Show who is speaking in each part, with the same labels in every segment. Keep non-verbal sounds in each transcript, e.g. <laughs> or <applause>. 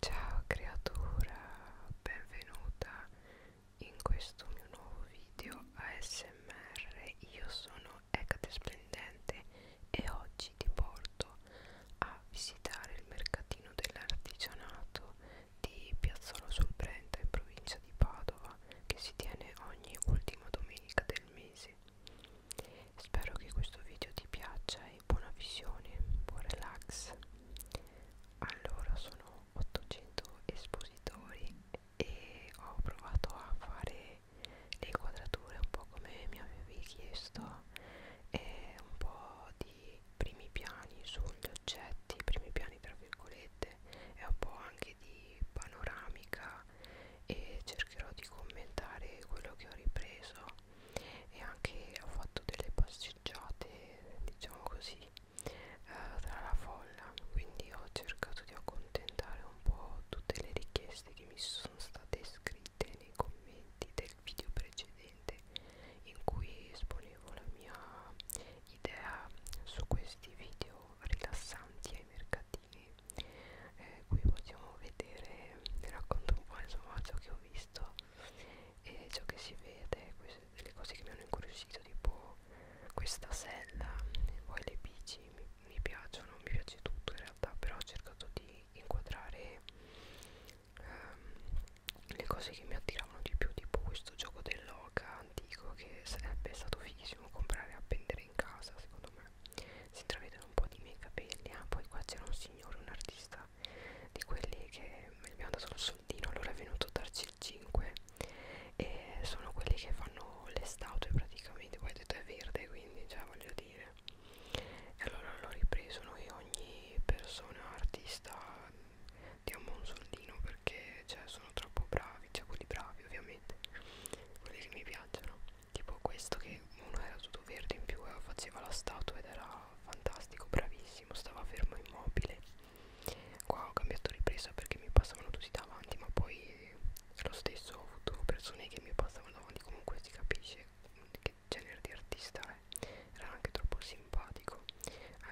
Speaker 1: Ciao creatura, benvenuta in questo mio nuovo video ASMR. Io sono Ecate Splendente e oggi ti porto a visitare il mercatino dell'artigianato di Piazzolo sul Brenta in provincia di Padova che si tiene ogni ultima domenica del mese. Spero che questo video ti piaccia e buona visione, buon relax. Allora sono 800 espositori e ho provato a fare le inquadrature un po' come mi avevi chiesto, e un po' di primi piani sugli oggetti, primi piani tra virgolette, e un po' anche di panoramica e cercherò di commentare quello che ho ripreso e anche ho fatto delle passeggiate diciamo così eh, tra la folla quindi ho cercato di accontentare un po' tutte le richieste che mi sono state scritte nei commenti del video precedente in cui esponevo la mia idea su questi video rilassanti ai mercatini eh, qui possiamo vedere vi racconto un po' insomma ciò che ho visto e ciò che si vede, queste, delle cose che mi hanno incuriosito tipo questa sella e poi le bici mi, mi piacciono, mi piace tutto in realtà però ho cercato di inquadrare um, le cose che mi attiravano di più tipo questo gioco dell'oca antico che sarebbe stato fighissimo comprare e appendere in casa secondo me si intravedono un po' di miei capelli ah poi qua c'era un signore, un artista di quelli che mi abbiamo dato il soldino allora è venuto a darci il 5 e sono quelli che fanno le statue praticamente poi ho detto è verde quindi già cioè, voglio dire e allora l'ho ripreso noi ogni persona artista diamo un soldino perché cioè, sono troppo bravi cioè quelli bravi ovviamente quelli che mi piacciono tipo questo che uno era tutto verde in più e faceva la statua ed era fantastico, bravissimo, stava fermo immobile. Qua ho cambiato ripresa perché mi passavano tutti davanti, ma poi lo stesso ho avuto persone che mi passavano davanti, comunque si capisce che genere di artista è. Era anche troppo simpatico.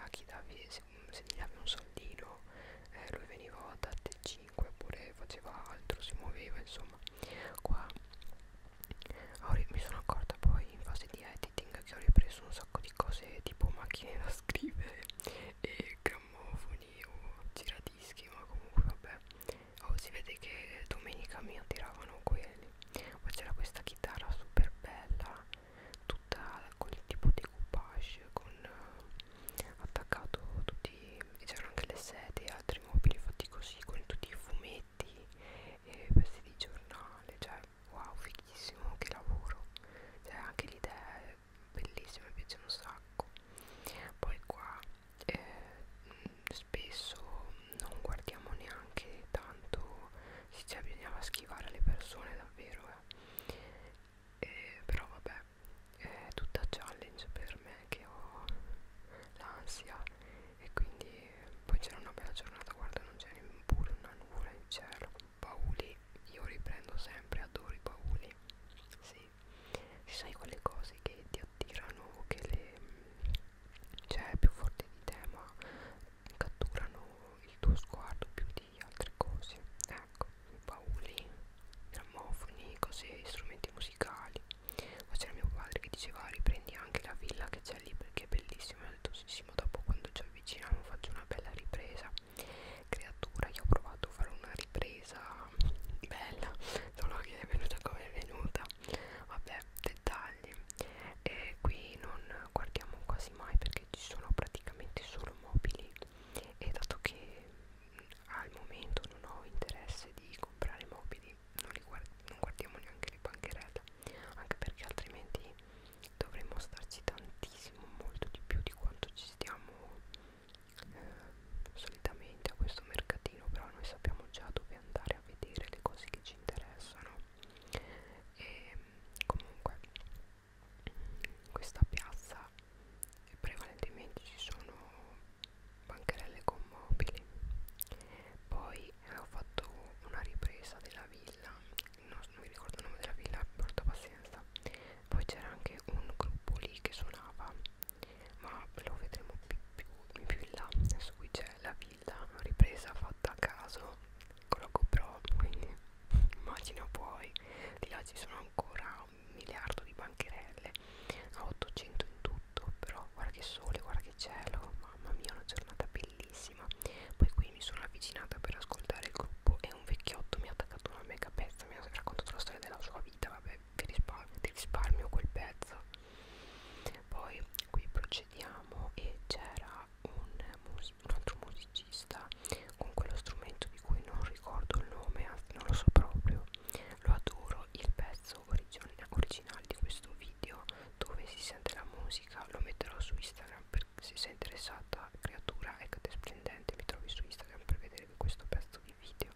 Speaker 1: A chi davi, se, se gli davi un soldino, eh, lui veniva da T5 oppure faceva altro, si muoveva, insomma qua mi sono accorta poi in fase di editing che ho ripreso un sacco di cose tipo macchine da scrivere e grammofoni o giradischi ma comunque vabbè oh, si vede che domenica mi attiravano quelli poi c'era questa chitarra super bella tutta con il tipo decoupage con uh, attaccato tutti c'erano anche le sedie e altri mobili fatti così con tutti i fumetti fumetti e pezzi di giornale cioè wow fighissimo che lavoro cioè anche l'idea è bellissima mi piace un sacco poi qua eh, spesso non guardiamo neanche tanto se cioè, bisognava schivare le persone davvero eh. Eh, però vabbè è eh, tutta challenge per me che ho l'ansia e quindi poi c'era una bella giornata guarda non c'era pure una nuvola in cielo bauli io riprendo sempre adoro i bauli sì ci sai quelle cose che ti attirano che le cioè più forti di te ma catturano il tuo sguardo più di altre cose ecco bauli grammofoni cose strumenti musicali musicali ma c'era mio padre che diceva riprendi anche la villa che c'è lì perché è bellissima ho detto sì, sì ma dopo quando ci avviciniamo faccio una bella ripresa creatura io ho provato a fare una ripresa bella solo che è venuta come è venuta vabbè dettagli e qui non guardiamo quasi mai perché ci sono praticamente solo mobili e dato che mm, al momento non ho interesse di comprare mobili non, li guard non guardiamo neanche le bancherelle anche perché altrimenti dovremmo starci tantissimo molto di più di quanto ci stiamo eh, solitamente a questo mercatino però noi sappiamo già dove andare a vedere le cose che ci interessano e comunque in questa piazza prevalentemente ci sono bancarelle con mobili poi eh, ho fatto una ripresa della villa non, non mi ricordo il nome della villa porta pazienza poi c'era anche un gruppo lì che suonava ma lo vedremo più, più, più in là adesso qui c'è la villa ripresa fatta a caso con la GoPro quindi <laughs> immagina poi di là ci sono ancora un miliardo di bancherelle a 800 in tutto tutto però guarda che sole guarda che cielo mamma mia una giornata bellissima poi qui mi sono avvicinata per ascoltare il gruppo e un vecchiotto mi ha attaccato una mega pezza mi ha raccontato la storia della sua vita vabbè vi risparmio, ti risparmio quel pezzo poi qui procediamo e c'era un, un altro musicista con quello strumento di cui non ricordo il nome anzi non lo so proprio lo adoro euro il pezzo originale di questo video dove si sente la musica lo metterò su Instagram per, se sei interessata creatura è ecco, te splendente mi trovi su Instagram per vedere questo pezzo di video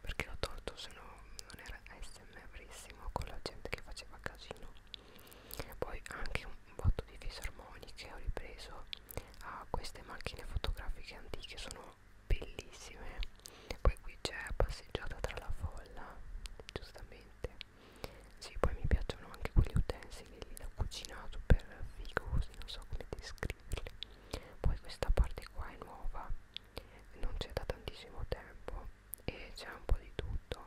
Speaker 1: perché l'ho tolto se no non era smrissimo con la gente che faceva casino poi anche un botto di fisarmoniche ho ripreso a ah, queste macchine fotografiche antiche sono bellissime poi qui c'è passeggiata tra la folla giustamente sì poi mi piacciono anche quegli utensili lì da cucinato per figosi non so come descriverli poi questa parte qua è nuova non c'è da tantissimo tempo e c'è un po' di tutto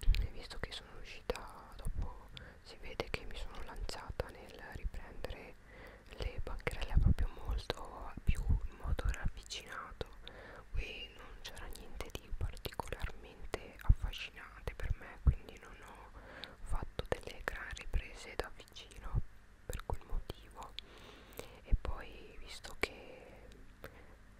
Speaker 1: e visto che sono uscita dopo si vede che mi sono lanciata nel riprendere che le bancherelle proprio molto più in modo ravvicinato e non c'era niente di particolarmente affascinante per me quindi non ho fatto delle gran riprese da vicino per quel motivo e poi visto che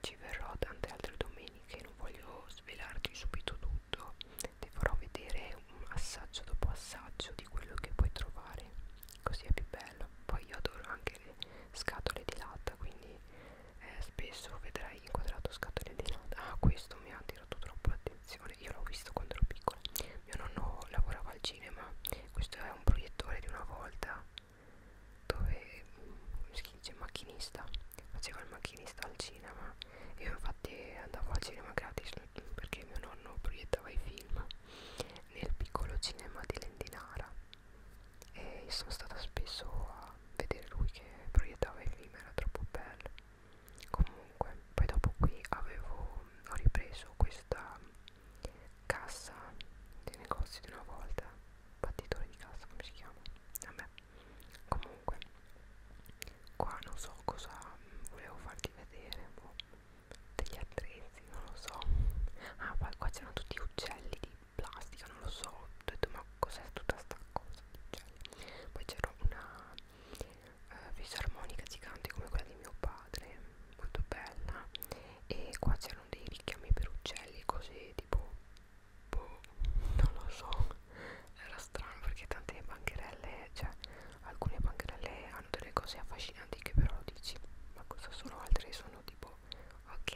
Speaker 1: ci verrò tante altre domeniche non voglio svelarti subito tutto ti farò vedere un assaggio dopo assaggio di quello che puoi trovare così è più bello poi io adoro anche le scatole di latta quindi eh, spesso vedrai inquadrato scatole di latta ah questo mi ha attirato troppo l'attenzione io l'ho visto quando ero piccola mio nonno lavorava al cinema questo è un proiettore di una volta dove mm, si dice macchinista faceva il macchinista al cinema io infatti andavo al cinema gratis perché mio nonno proiettava i film nel piccolo cinema di Lendinara e sono stata spesso a vedere lui che proiettava i film, era troppo bello. Comunque, poi dopo qui avevo, ho ripreso questa cassa dei negozi di una volta, battitore di cassa come si chiama? Vabbè, comunque, qua non so cosa volevo farti vedere, boh degli attrezzi, non lo so. Ah, poi qua c'erano tutti uccelli di plastica, non lo so. Ho detto, ma cos'è tutta sta cosa di uccelli? Poi c'era una uh, fisarmonica gigante come quella di mio padre, molto bella. E qua c'erano dei richiami per uccelli, cose tipo. Boh, non lo so. Era strano perché tante bancherelle, cioè alcune bancarelle hanno delle cose affascinanti che però lo dici ma cosa sono altre sono tipo ok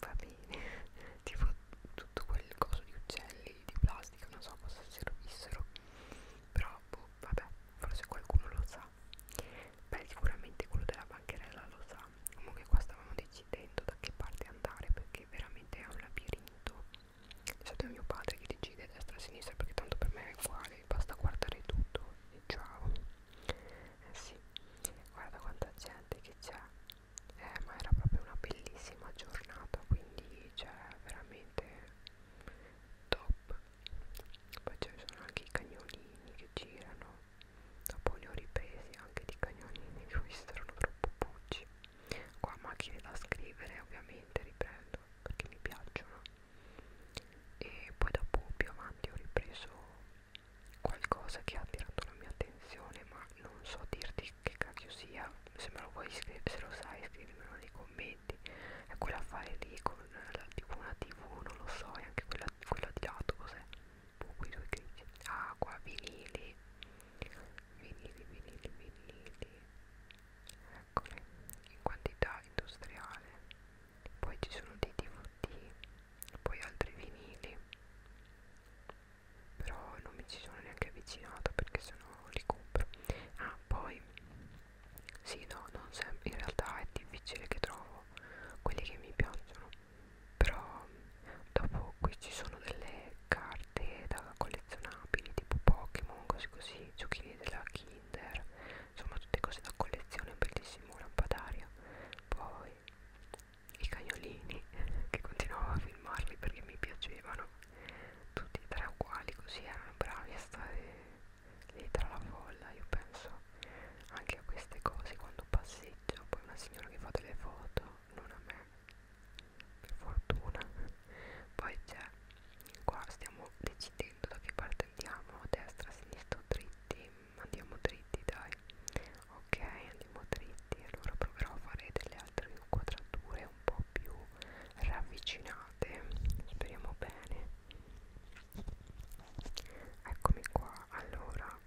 Speaker 1: va bene <laughs> tipo tutto quel coso di uccelli di plastica non so cosa servissero però boh, vabbè forse qualcuno lo sa beh sicuramente quello della bancherella lo sa comunque qua stavamo decidendo da che parte andare perché veramente è un labirinto è stato mio padre che decide destra e sinistra perché tanto per me è uguale basta guardare tutto e ciao eh sì guarda quanta gente che c'è eh, ma era proprio una bellissima giornata quindi c'è cioè, veramente top poi ci sono anche i cagnolini che girano dopo li ho ripresi anche di cagnolini che ho visto erano troppo bucci qua macchine da scrivere ovviamente riprendo perché mi piacciono e poi dopo più avanti ho ripreso qualcosa che ha attirato la mia attenzione ma non so dirti che cacchio sia se me lo vuoi se lo sai scrivimelo nei commenti è quella fare lì con la, tipo una tv non lo so e anche quella, quella di lato cos'è comunque boh, i due critici ah qua vinili vinili vinili vinili piccole in quantità industriale, poi ci sono dei DVD, poi altri vinili, però non mi ci sono neanche avvicinato perché sennò li compro. Ah, poi sì, no, non sempre, in realtà è difficile che trovo quelli che mi piacciono, però dopo qui ci sono delle carte carte da collezionabili tipo Pokémon, così così, giochini della Kinder, insomma tutte cose da collezione, bellissimo lampadario. Poi i cagnolini <laughs> che continuavo a filmarli perché mi piacevano, tutti e tre uguali così erano bravi a stare lì tra la folla, io penso anche a queste cose quando passeggio, poi una signora che fa delle foto, non a me che fortuna poi c'è qua stiamo decidendo da che parte andiamo destra sinistra dritti andiamo dritti dai ok andiamo dritti allora proverò a fare delle altre inquadrature un po' più ravvicinate speriamo bene eccomi qua allora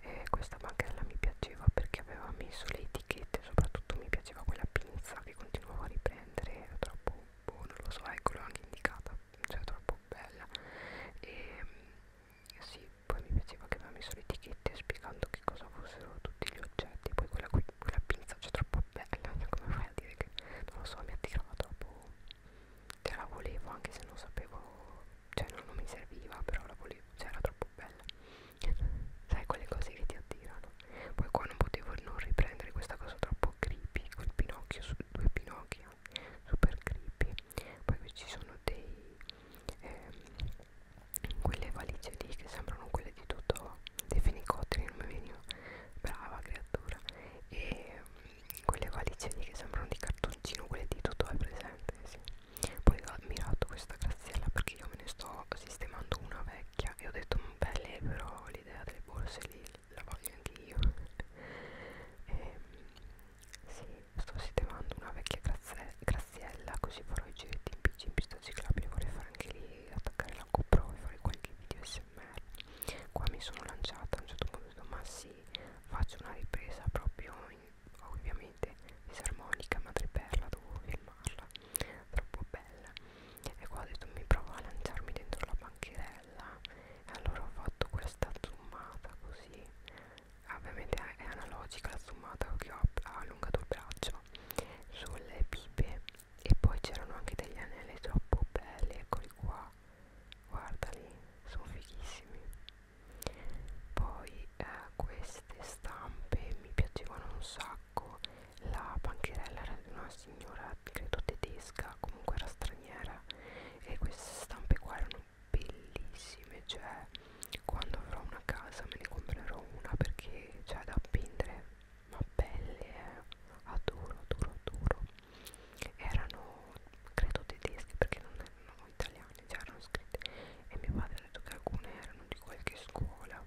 Speaker 1: eh, questa bancarella mi piaceva perché aveva messo le etichette soprattutto mi piaceva quella pinza che continuavo a riprendere è troppo boh, non lo so ecco l'ho anche indicata cioè troppo bella e ehm, sì poi mi piaceva che aveva messo le etichette spiegando che cosa fossero tutti gli oggetti poi quella qui quella pinza cioè troppo bella <laughs> come fai a dire che non lo so mi attirava troppo cioè la volevo anche se non sapevo cioè non, non mi serviva però la volevo cioè era troppo bella sai quelle cose che ti attirano poi qua non potevo non riprendere questa cosa troppo creepy col pinocchio su due pinocchio eh, super creepy poi qui ci sono dei ehm, quelle valigie lì che sembrano quelle di tutto dei fenicotteri non mi veniva brava creatura e mh, mm, quelle valigie lì che sembrano di cartoncino quelle di tutto è presente sì. poi ho ammirato questa graziella perché io me ne sto sistemando una vecchia vecchia e ho detto mm, belle però l'idea delle borse lì la voglio anche io <laughs> e, ehm, sì, sto sistemando una vecchia grazie, graziella così farò i giretti in bici in pista ciclabile vorrei fare anche lì attaccare la GoPro e fare qualche video smr qua mi sono lanciata a un certo punto ho detto ma sì faccio una ripresa proprio in, ovviamente disarmonica madreperla dovevo filmarla troppo bella e qua ho detto mi provo a lanciarmi dentro la banchirella e allora ho fatto questa zoomata così ah, ovviamente è analogica la zoomata che ho allungato il braccio sulle pipe e poi c'erano anche degli anelli troppo belli eccoli qua guardali sono fighissimi poi eh, queste stampe mi piacevano un sacco sacco la bancherella era di una signora credo tedesca comunque era straniera e queste stampe qua erano bellissime cioè quando avrò una casa me ne comprerò una perché c'è cioè, da appendere ma belle eh? adoro adoro adoro erano credo tedesche perché non erano italiane cioè erano scritte e mio padre ha detto che alcune erano di qualche scuola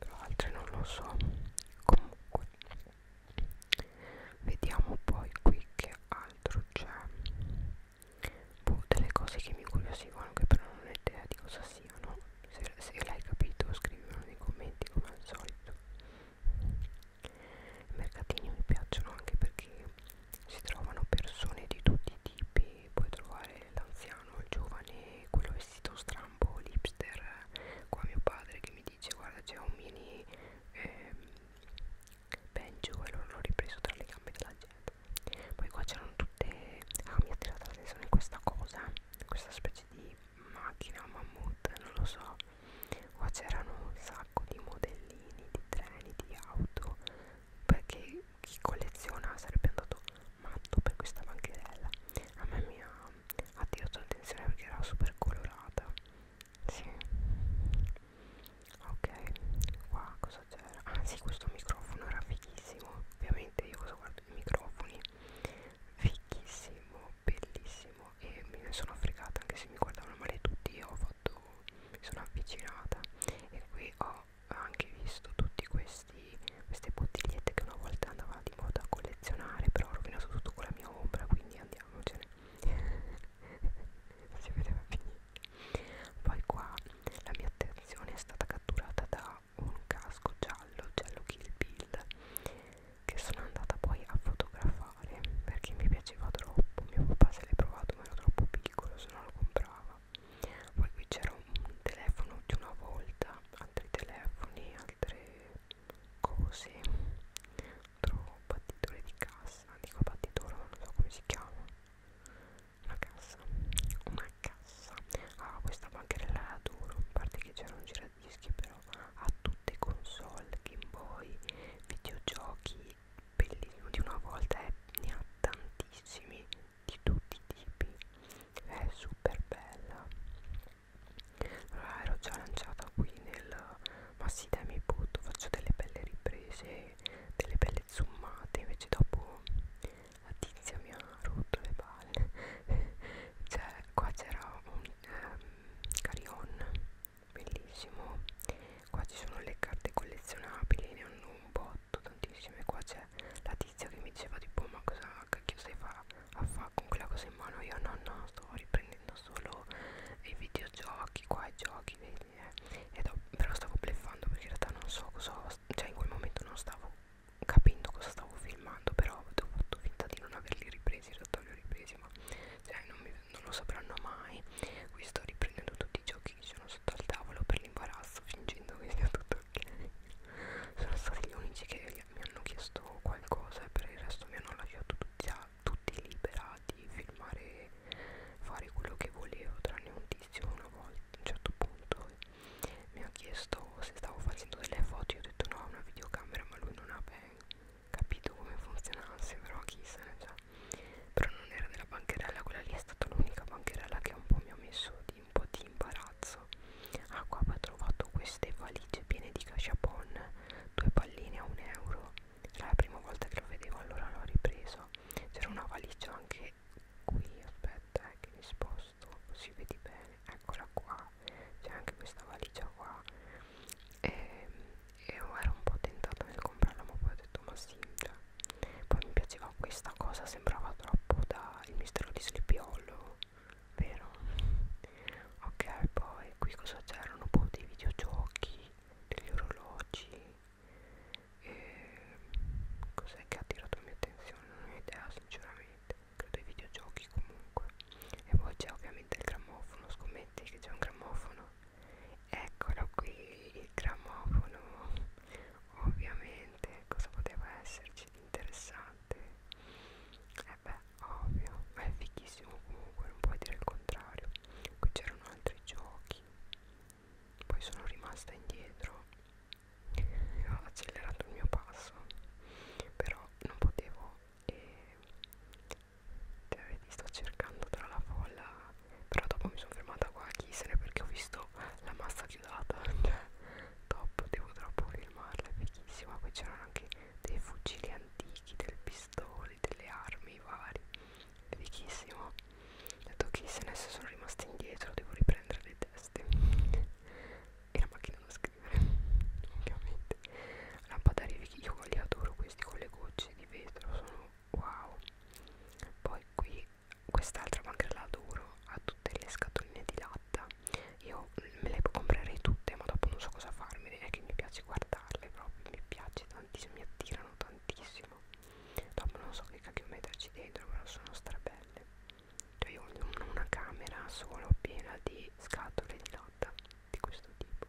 Speaker 1: tra altre non lo so comunque vediamo poi qui che altro c'è boh, delle cose che mi incuriosivano che però non ho idea di cosa siano se, se l'hai capito scrivimelo nei commenti come al solito i mercatini mi piacciono anche perché si trovano persone di tutti i tipi quindi puoi trovare l'anziano, il giovane, quello vestito strambo, l'hipster qua mio padre che mi dice guarda c'è un mini ehm, banjo e loro l'ho ripreso tra le gambe della gente poi qua c'erano tutte ah mi ha tirato l'attenzione questa cosa questa specie di macchina mammut non lo so qua c'erano un sacco di modellini di treni di auto perché chi colleziona sarebbe andato matto per questa bancherella a me mi ha attirato l'attenzione perché era super colorata sì ok qua cosa c'era ah sì questo microfono era fighissimo ovviamente io cosa guardo i microfoni fighissimo bellissimo e me ne sono fregata anche se mi guardavano male tutti io ho fatto mi sono avvicinata e qui ho ho anche visto tutte queste bottigliette che una volta andava di moda a collezionare però ho rovinato tutto con la mia ombra quindi andiamocene <laughs> si vedeva finire poi qua la mia attenzione è stata catturata da un casco giallo giallo Kill Bill che sono andata poi a fotografare perché mi piaceva troppo mio papà se l'è provato ma era troppo piccolo se no lo comprava poi qui c'era un telefono di una volta altri telefoni altre cose altro battitore di cassa dico battitore non so come si chiama una cassa una cassa ah questa bancherella la adoro a parte che c'era un giradischi però a tutte console Game Boy videogiochi bellissimo di una volta e eh, ne ha tantissimi di tutti i tipi è super bella allora ero già lanciata qui nel ma sì dai mi butto faccio delle belle riprese delle belle zoomate invece dopo la tizia mi ha rotto le palle <laughs> cioè qua c'era un um, ehm, carion bellissimo qua ci sono le carte collezionabili ne hanno un po' fatto tantissime qua c'è la tizia che mi diceva tipo ma cosa cacchio stai fa a fa con quella cosa in mano io no no sto riprendendo solo i videogiochi qua i giochi vedi eh. Ed ho, però stavo bleffando perché in realtà non so cosa cioè in quel momento non stavo capendo cosa stavo filmando però ho fatto finta di non averli ripresi in realtà li ho ripresi ma cioè non, mi, non lo sapranno mai qui sto riprendendo tutti i giochi occhi che sono sotto al tavolo per l'imbarazzo fingendo che sia tutto ok sono stati gli unici che mi hanno chiesto qualcosa e per il resto mi hanno lasciato tutti, a, tutti liberati filmare fare quello che volevo tranne un tizio una volta a un certo punto mi ha chiesto se stavo facendo delle foto io ho detto no una videocamera ma lui non ha ben capito come funzionasse però chissà cioè però non era della bancherella quella lì è stata l'unica bancherella che un po' mi ha messo di, un po' di imbarazzo ah qua ho trovato queste valigie piene di cachapon due palline a un euro era la prima volta che lo vedevo allora l'ho ripreso c'era una valigia anche qui aspetta eh, che mi sposto si vede bene eccola qua c'è anche questa valigia qua ehm, e, e ero un po' tentata nel comprarla ma poi ho detto ma sì cioè, poi mi piaceva questa cosa sembrava troppo da il mistero di Sleepy Hollow vero? ok poi qui cosa c'erano un boh, po' dei videogiochi degli orologi cos'è che ha attirato la mia attenzione non ho idea sinceramente credo ai videogiochi comunque e poi c'è ovviamente il grammofono scommetti che c'è un grammofono eccolo qui il gramofono ovviamente cosa poteva esserci di interessante e eh beh ovvio ma è fighissimo comunque non puoi dire il contrario qui c'erano altri giochi poi sono rimasta indietro e ho accelerato il mio passo però non potevo e cioè, vedi sto cercando tra la folla però dopo mi sono fermata qua a Chisene perché ho visto la massa chiodata <laughs> cioè top devo troppo filmarla è fighissima poi c'erano anche dei fucili antichi delle pistole delle armi vari è fighissimo ho detto Chisene se sono rimasti indietro devo riprendere le teste <laughs> e la macchina da scrivere <laughs> ovviamente lampadari io li adoro questi con le gocce di vetro sono wow poi qui quest'altra banca la adoro ha tutte le scatoline di latta io me le comprerei tutte ma dopo non so cosa farmene è che mi piace guardarle proprio mi piace tantissimo mi attirano tantissimo dopo non so che cacchio metterci dentro però sono strabelle cioè io ho una camera solo piena di scatole di latta di questo tipo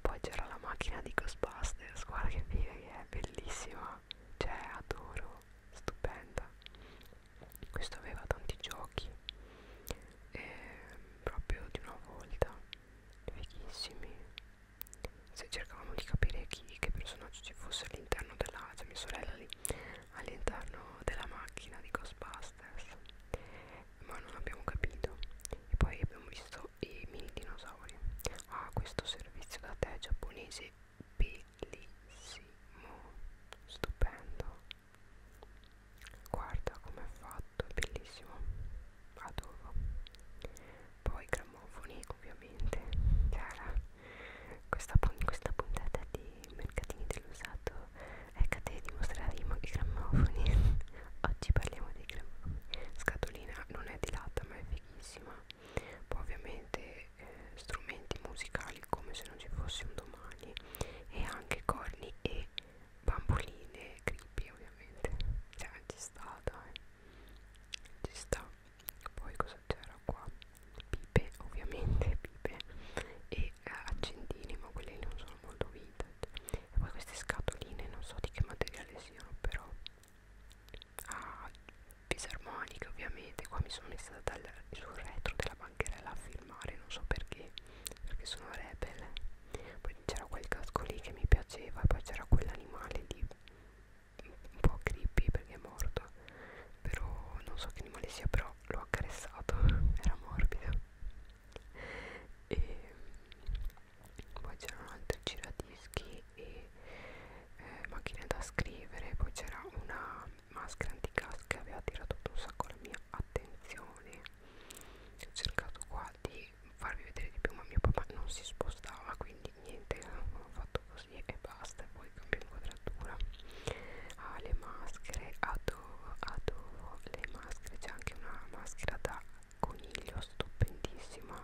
Speaker 1: poi c'era la macchina di Ghostbusters guarda che figa è bellissima, cioè adoro, stupenda. Questo aveva tanti giochi, e proprio di una volta, vecchissimi. Se cercavamo di capire chi, che personaggio ci fosse all'interno della, cioè mia sorella lì, all'interno della macchina di Ghostbusters, ma non abbiamo capito. E poi abbiamo visto i mini dinosauri ha ah, questo servizio da te giapponese bellissimo stupendo guarda come è fatto è bellissimo adoro poi gramofoni ovviamente cara questa, questa puntata di mercatini dell'usato è catena di mostrare i grammofoni <laughs> oggi parliamo dei grammofoni scatolina non è di latta ma è bellissima poi ovviamente eh, strumenti musicali come se non ci fosse un domani e anche corni e bamboline creepy ovviamente cioè ci sta dai ci sta poi cosa c'era qua pipe ovviamente pipe e eh, accendini ma quelli non sono molto vintage e poi queste scatoline non so di che materiale siano però a fisarmonica ovviamente qua mi sono messa dal, sul retro della bancherella a filmare non so perché perché sono rebel poi c'era quel casco lì che mi piaceva e poi c'era quell'animale lì un po' creepy perché è morto però non so che animale sia però l'ho accarezzato <laughs> era morbido e poi c'erano altri giradischi e eh, macchine da scrivere poi c'era una maschera antigas che aveva attirato un sacco la mia attenzione ho cercato qua di farvi vedere di più ma mio papà non si spostava quindi niente ho fatto così e basta e poi cambio inquadratura ah le maschere adoro adoro le maschere c'è anche una maschera da coniglio stupendissima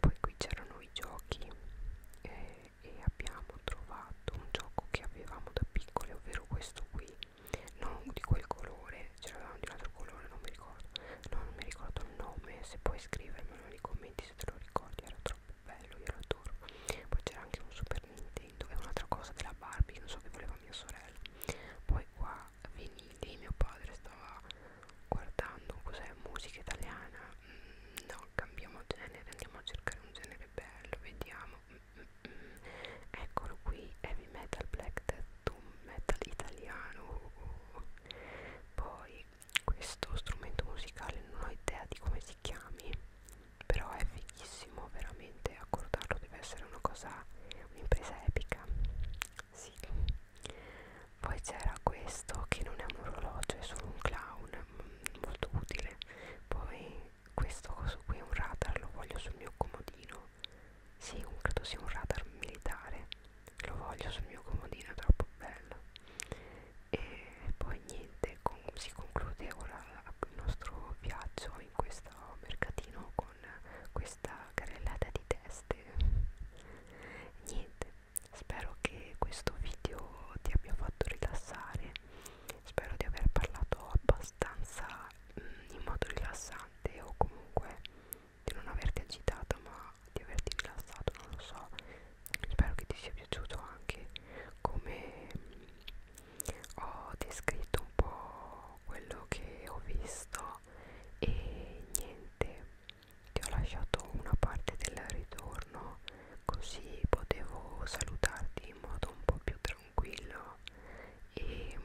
Speaker 1: poi qui c'erano i giochi eh, e abbiamo trovato un gioco che avevamo da piccole ovvero questo qui non di quel colore c'era di un altro colore non mi ricordo no, non mi ricordo il nome se puoi scrivermelo nei commenti se te lo ricordi era troppo bello io lo adoro poi c'era anche un super nintendo e un'altra cosa della barbie non so che voleva mia sorella poi qua venite mio padre stava guardando cos'è musica italiana mm, no cambiamo genere andiamo a cercare un genere bello vediamo mm, mm, mm. eccolo qui heavy metal black death metal italiano oh, oh. poi questo strumento musicale non ho idea di come si chiami però è fighissimo veramente accordarlo deve essere una cosa un'impresa epica sì poi c'era questo che non è un orologio è solo un clown mm, molto utile poi questo coso qui è un radar lo voglio sul mio comodino sì credo sia un radar militare lo voglio sul mio comodino è troppo bello e poi niente con, si conclude ora il nostro viaggio in questo mercatino qua con questa carrellata di teste niente spero che questo video ti abbia fatto rilassare spero di aver parlato abbastanza mh, mm, in modo rilassante o comunque di non averti agitato ma di averti rilassato non lo so spero che ti sia piaciuto anche come mm, ho descritto un po' quello che ho visto e niente ti ho lasciato una parte del ritorno così potevo salutarti in modo un po' più tranquillo e mm,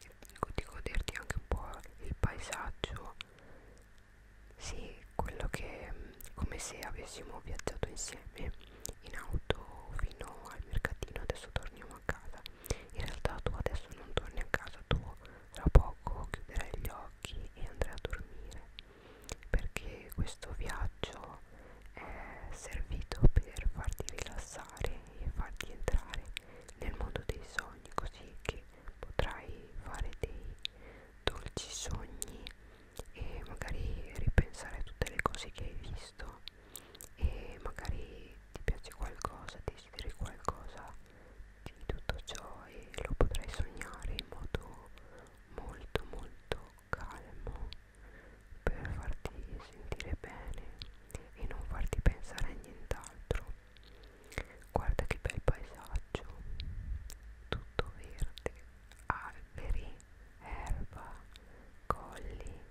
Speaker 1: di goderti anche un po' il paesaggio sì quello che mm, come se avessimo viaggiato insieme in auto fino al mercatino adesso torniamo a casa in realtà tu adesso non torni a casa tua tra poco chiuderai gli occhi e andrai a dormire perché questo viaggio è servito per farti rilassare e farti entrare nel mondo dei sogni così che potrai fare dei dolci sogni e magari ripensare a tutte le cose che hai visto e magari ti piace qualcosa, desideri qualcosa di tutto ciò e lo potrai sognare in modo molto molto calmo per farti sentire bene e non farti pensare a nient'altro. Guarda che bel paesaggio, tutto verde, alberi, erba, colli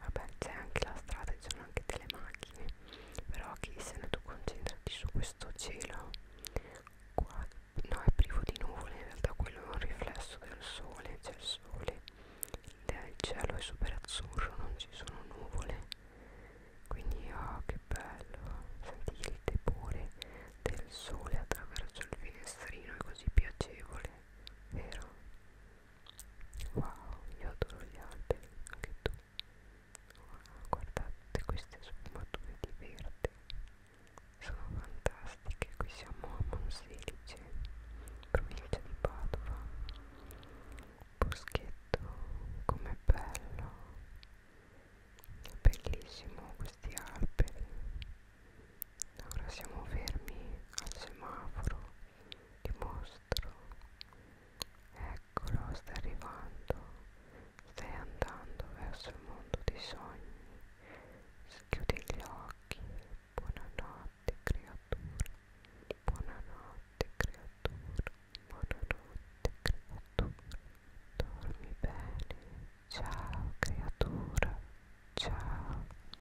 Speaker 1: vabbè c'è anche la strada ci sono anche delle macchine però chi se ne tu concentrati su questo cielo qua no è privo di nuvole in realtà quello è un riflesso del sole c'è il sole il cielo è super azzurro non ci sono nuvole quindi oh che bello senti il tepore del sole attraverso il finestrino è così piacevole vero Wow, io adoro gli alberi, anche tu. Wow, guardate queste sfumature di verde, sono fantastiche. Qui siamo a Monselice, provincia di Padova. Boschetto, com'è bello, bellissimo questi alberi. Ora siamo fermi al semaforo ti mostro. Eccolo, sta arrivando. Stai andando verso il mondo dei sogni. Chiudi gli occhi. Buonanotte, creatura. Buonanotte, creatura. Buonanotte, creatura. Dormi bene. Ciao, creatura. Ciao.